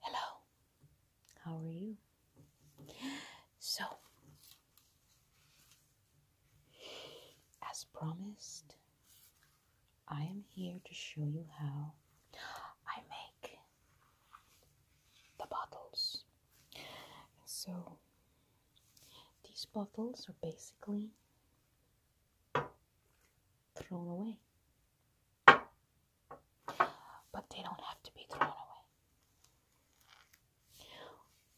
Hello, how are you? So, as promised, I am here to show you how I make the bottles. So, these bottles are basically thrown away. But they don't have to be thrown away.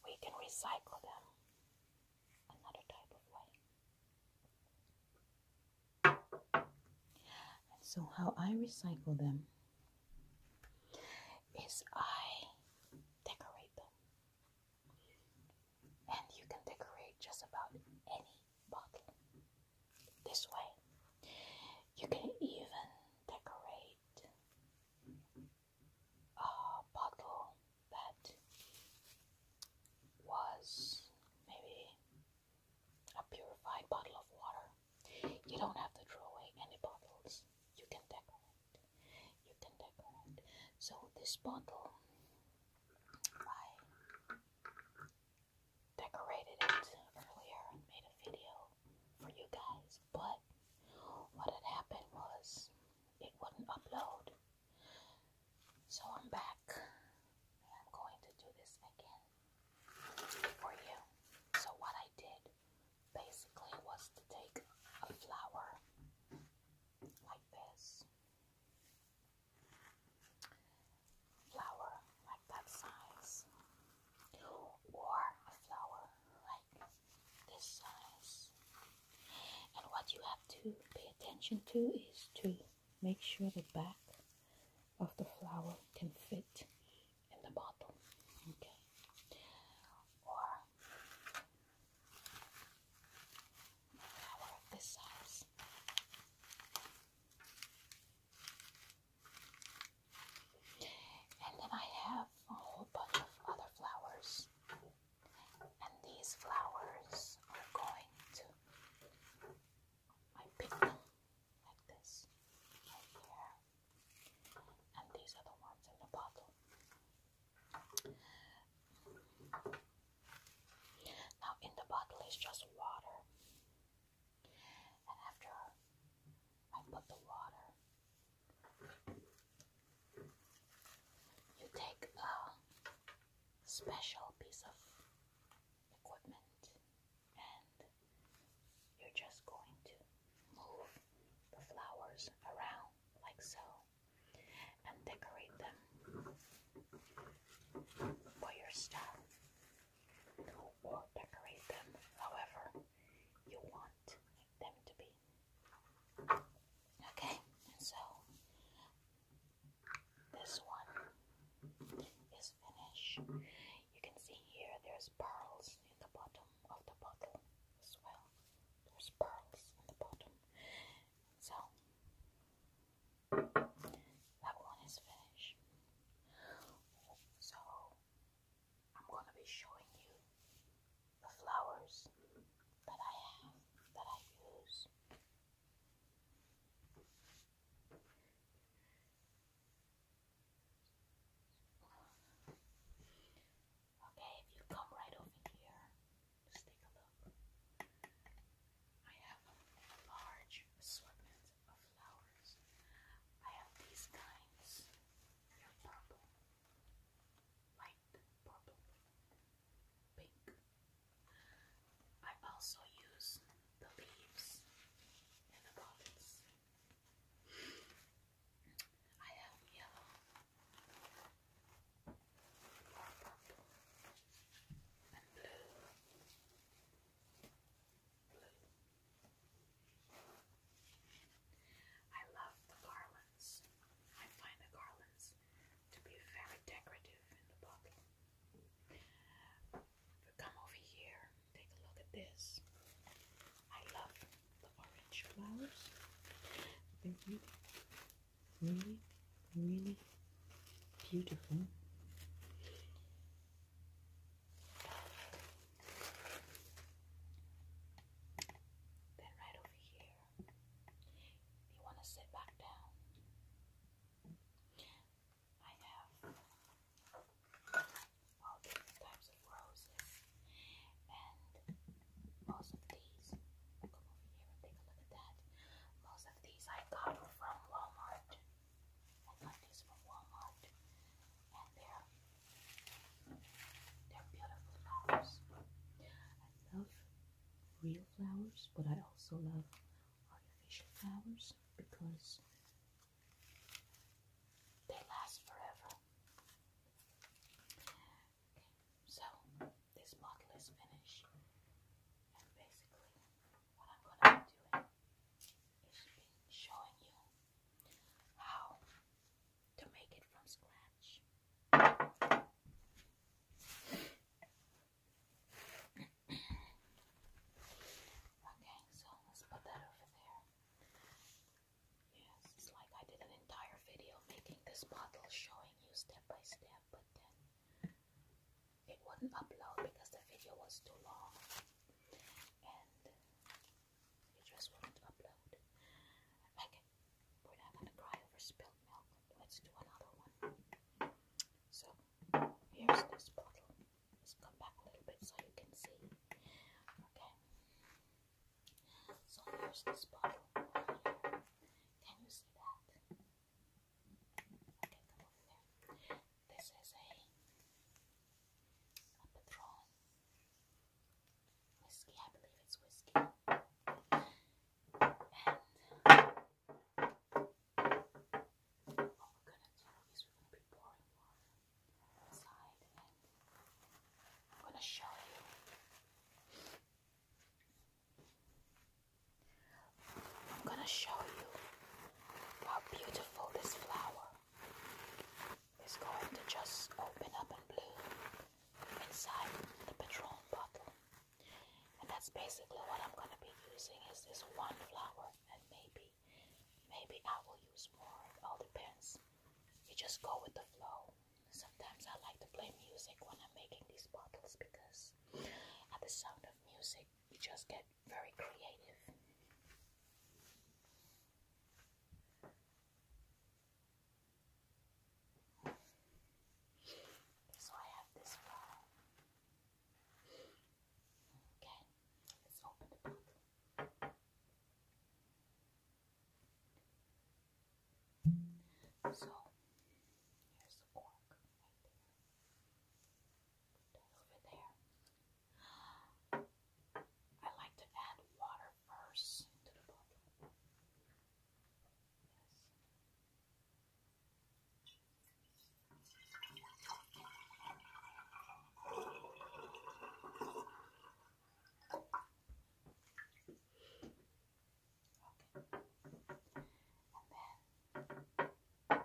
We can recycle them another type of way. And so, how I recycle them is I decorate them. And you can decorate just about any bottle. This way, you can even decorate a bottle that was maybe a purified bottle of water. You don't have to throw away any bottles. You can decorate. You can decorate. So this bottle by decorated it earlier and made a video for you guys, but what had happened was it wouldn't upload. So I'm back I'm going to do this again for you. So what I did basically was to take a flower like this flower like that size, or a flower like this size. And what you have to pay attention to is to make sure the back of the flower can fit in the bottle. Okay. Or flower of this size. And then I have a whole bunch of other flowers. And these flowers are going to, I pick like this, here. And these are the ones in the bottle. Now, in the bottle is just water after I put the water, you take a special piece of equipment and you're just going to move the flowers around like so and decorate them for your stuff or decorate them however you want them to be. Okay, so this one is finished. You can see here there's pearls in the bottom of the bottle as well. There's pearls in the bottom. So that one is finished. So I'm gonna be showing you the flowers that I have that I use. Okay, if you come right over here, just take a look. I have a large assortment of flowers. I have these kinds. purple, light purple, pink. I also use the leaves and the buds. I have yellow purple and blue I love the garlands. I find the garlands to be very decorative in the book. come over here, take a look at this. I love the orange flowers. really, really really beautiful. Then right over here, you want to sit back down. I have all different types of roses, and most of these, come over here and take a look at that. Most of these I got from Walmart. I got these from Walmart, and they're they're beautiful flowers. I love real flowers, but I also love artificial flowers because they last forever. so this bottle is finished, and basically what I'm gonna be doing is showing you how to make it from scratch. okay, so let's put that over there. Yes, it's like I did an entire video making this bottle, showing you step by step, but then it wouldn't upload because the video was too long and it just wouldn't upload. Okay, we're not gonna cry over spilled milk. Let's do another one. So here's this bottle. Let's come back a little bit so you can see. Okay. So here's this bottle. Can you see that? Get This is a, a whiskey, I believe it's whiskey. And what we're going we're gonna be pouring water inside I'm gonna show you. I'm gonna show you how beautiful this flower is going to just open up and bloom inside the Patron bottle. And that's basically what I'm gonna be using is this one flower and maybe maybe I will use more. It all depends. You just go with the flow. Sometimes I like to play music when I'm making these bottles because at the sound of music you just get very creative. So I have this file. Okay, let's open the book. So here's the cork over I like to add water first to the bottle. And then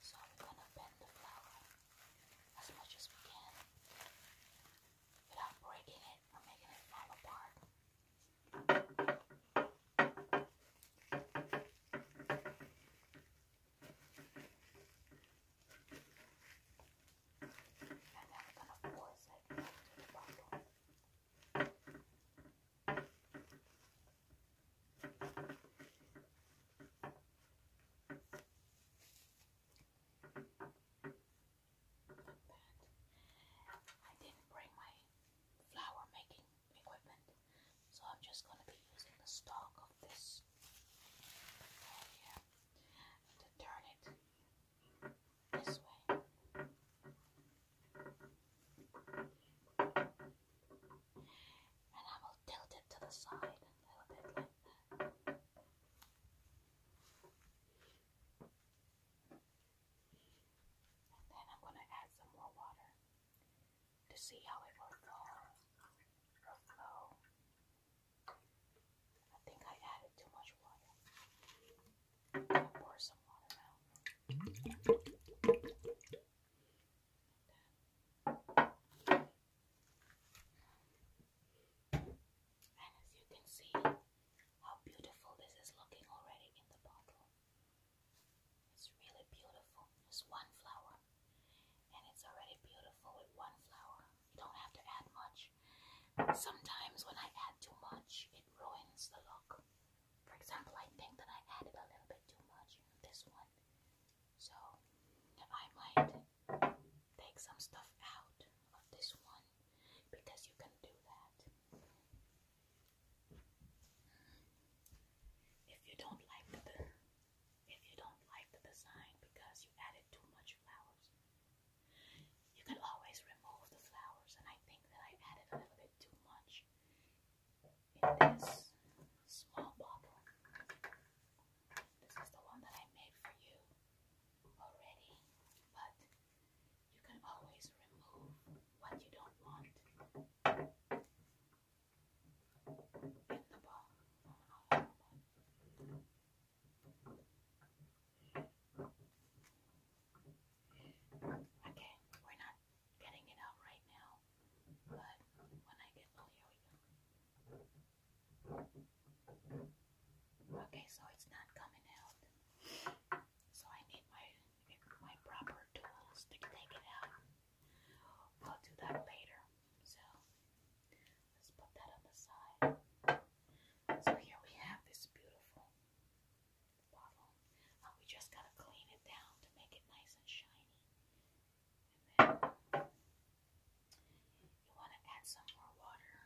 So we're gonna bend the flower as much as we can without breaking it or making it fall apart. And then we're gonna force it into the bottle. I didn't bring my flour making equipment, so I'm just going to be using the stalk of this to turn it this way. And I will tilt it to the side a little bit then I'm going to add some more water to see how it works. fall I think I added too much water. pour some water out as you can see, how beautiful this is looking already in the bottle. It's really beautiful. Just one flower. And it's already beautiful with one flower. You don't have to add much. Sometimes when I add too much, it ruins the look. For example, I think that I added a little bit too much. This one so I might take some stuff out of this one because you can do that. Mm-hmm. If you don't like the if you don't like the design because you added too much flowers, you can always remove the flowers and I think that I added a little bit too much in this small bottle. This is the one that I made for you already, but you can always remove what you don't want in the ball. okay, we're not getting it out right now, but when I get oh, here we go. Okay, so it's not coming out. So I need my my proper tools to take it out. I'll do that later. So let's put that on the side. So here we have this beautiful bottle. Uh, we just gotta clean it down to make it nice and shiny. And you want to add some more water.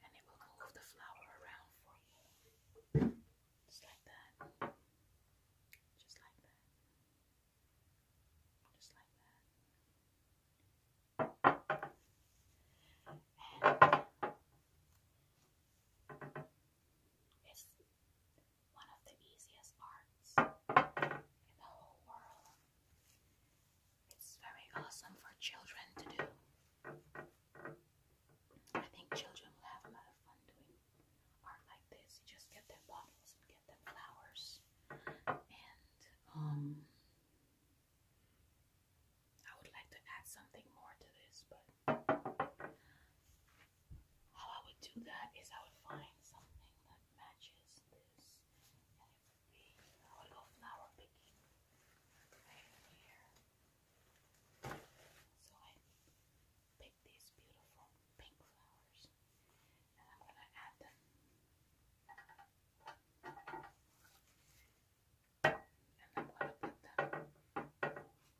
And it will move the flour around for you. Just like that. Just like that. Just like that. And one of the easiest arts in the whole world. It's very awesome for children to do. I think children will have a lot of fun doing art like this. You just get their bottles and get them flowers. And um I would like to add something more to this, but how I would do that is I would find something that matches this, and it would be I would flower picking right here. So I pick these beautiful pink flowers, and I'm gonna add them. And I'm going to put them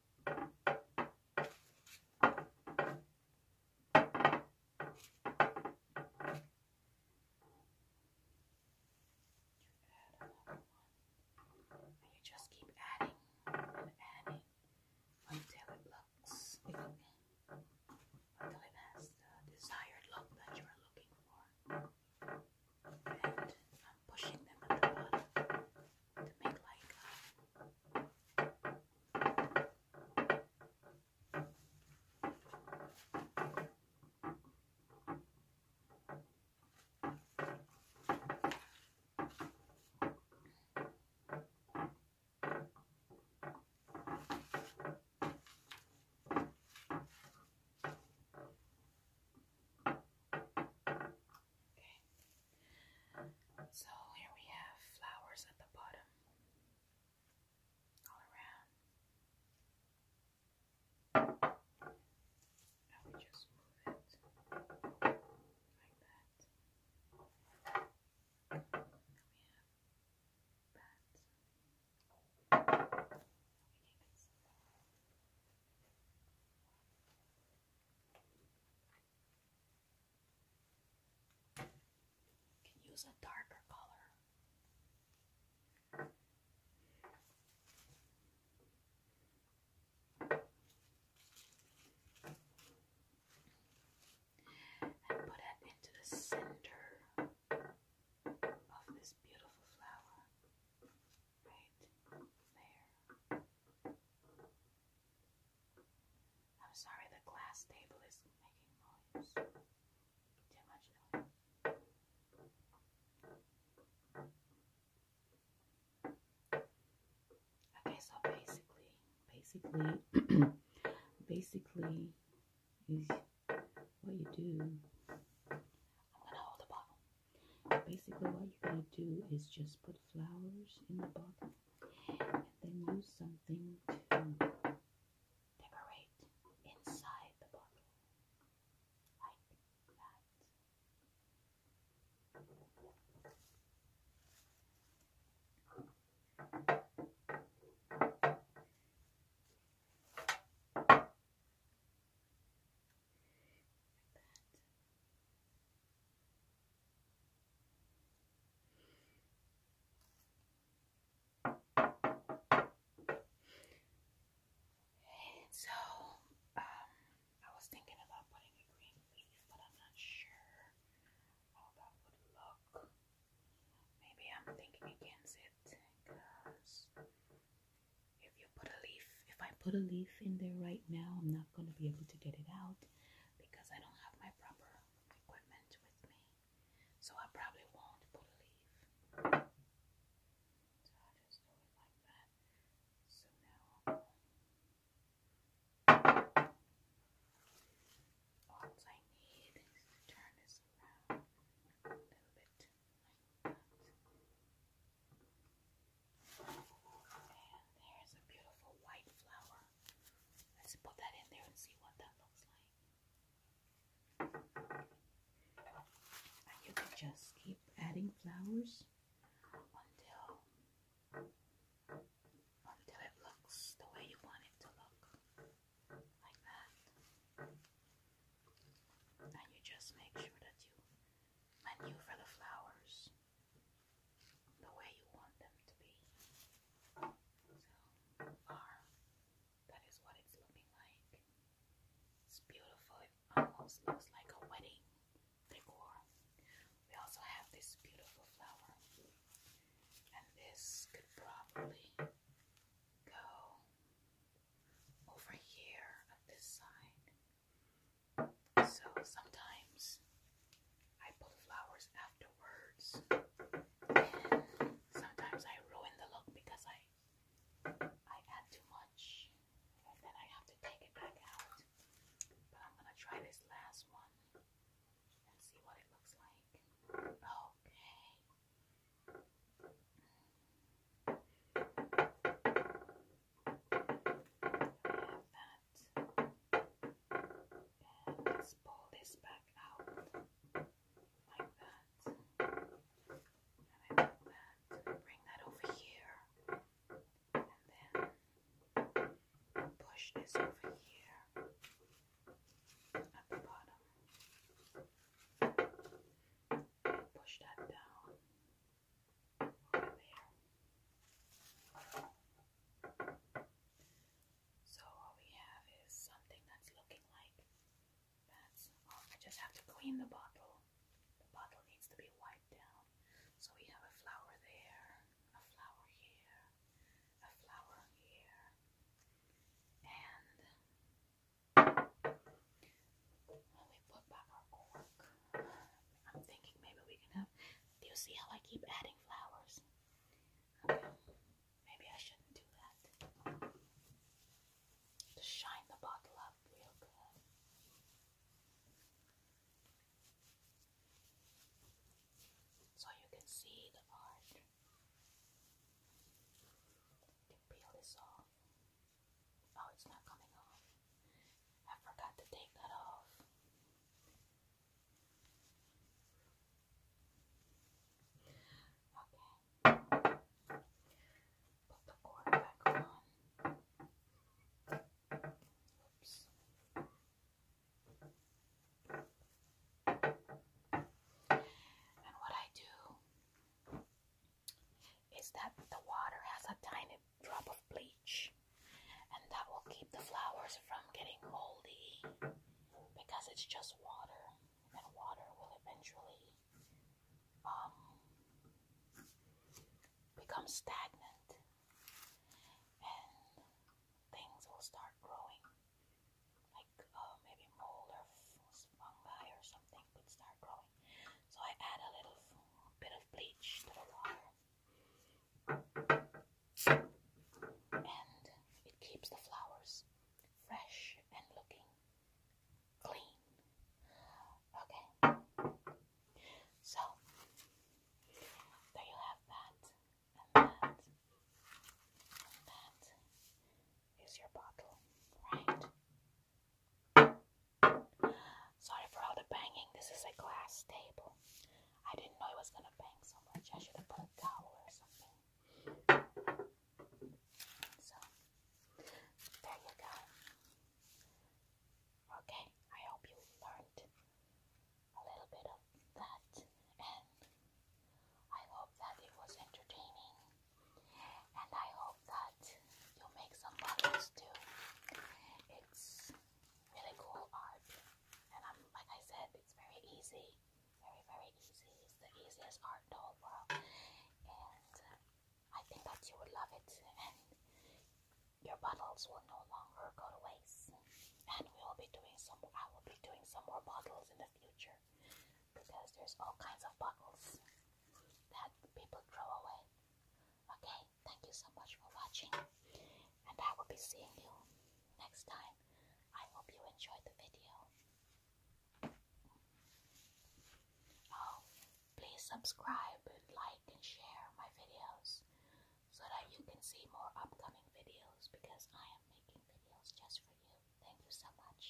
And you just keep adding and adding until it looks until it has the desired look that you are looking for. And I'm pushing them at the bottom to make like Okay. So here we have flowers at the bottom, all around. And we just move it like that. And we have that. Can use a darker color. And put it into the center of this beautiful flower. Right there. I'm sorry, the glass table is making noise. Too much noise. Okay, so basically, basically, basically is what you do. I'm gonna hold the bottle. Basically, what you're gonna do is just put flowers in the bottom and then use something to decorate inside the bottle Like that. So, um, I was thinking about putting a green leaf, but I'm not sure how that would look. Maybe I'm thinking against it because if you put a leaf, if I put a leaf in there right now, I'm not going to be able to get it out because I don't have my proper equipment with me. So I probably won't pull a leaf. So now all I need is to turn this around a little bit there's a beautiful white flower. Let's put that in there and see what that looks like. And you can just keep adding flowers until until it looks the way you want it to look. Like that. And you just make sure that you maneuver the flowers the way you want them to be. So, R, that is what it's looking like. It's beautiful, it almost looks like a wedding decor. We also have this beautiful flower, and this could probably go over here at this side. So sometimes I put flowers afterwards, and sometimes I ruin the look because I I add too much, and then I have to take it back out. But I'm gonna try this last one and see what it looks like. Okay have that. let's pull this back out like that. And I put that, bring that over here, and then push this over here at the bottom. Push that down. So what we have is something that's looking like that's oh, I just have to clean the bottle. The bottle needs to be wiped down. So we have a flower there, a flower here, a flower here, and we put back our cork. I'm thinking maybe we can have do you see how I keep adding flowers? Maybe I shouldn't do that. Just shine the bottle up real good. So you can see the art. can peel this off. Oh, it's not coming off. I forgot to take that off. Okay. Put the cord back on. Oops. And what I do is that the water has a tiny drop of bleach and that will keep the flowers from getting moldy because it's just water and water will eventually um, become stagnant and things will start growing like uh, maybe mold or fungi or something could start growing so I add a little bit of bleach to the water and it keeps the flowers fresh and looking clean. Okay. So there you have that that is your bottle, right? Sorry for all the banging. This is a glass table. I didn't know it was gonna bang so much. I should have put a towel or something. So there you go. Okay, I hope you learned a little bit of that, and I hope that it was entertaining, and I hope that you make some models too. It's really cool art. And I'm like I said, it's very easy. Very, very easy. It's the easiest art in the whole world. And uh, I think that you would love it. And your bottles will no longer go to waste. And we will be doing some I will be doing some more bottles in the future. Because there's all kinds of bottles that people throw away. Okay? thank you so much for watching, and I will be seeing you next time. I hope you enjoyed the video. Oh, please subscribe, like, and share my videos so that you can see more upcoming videos because I am making videos just for you. Thank you so much.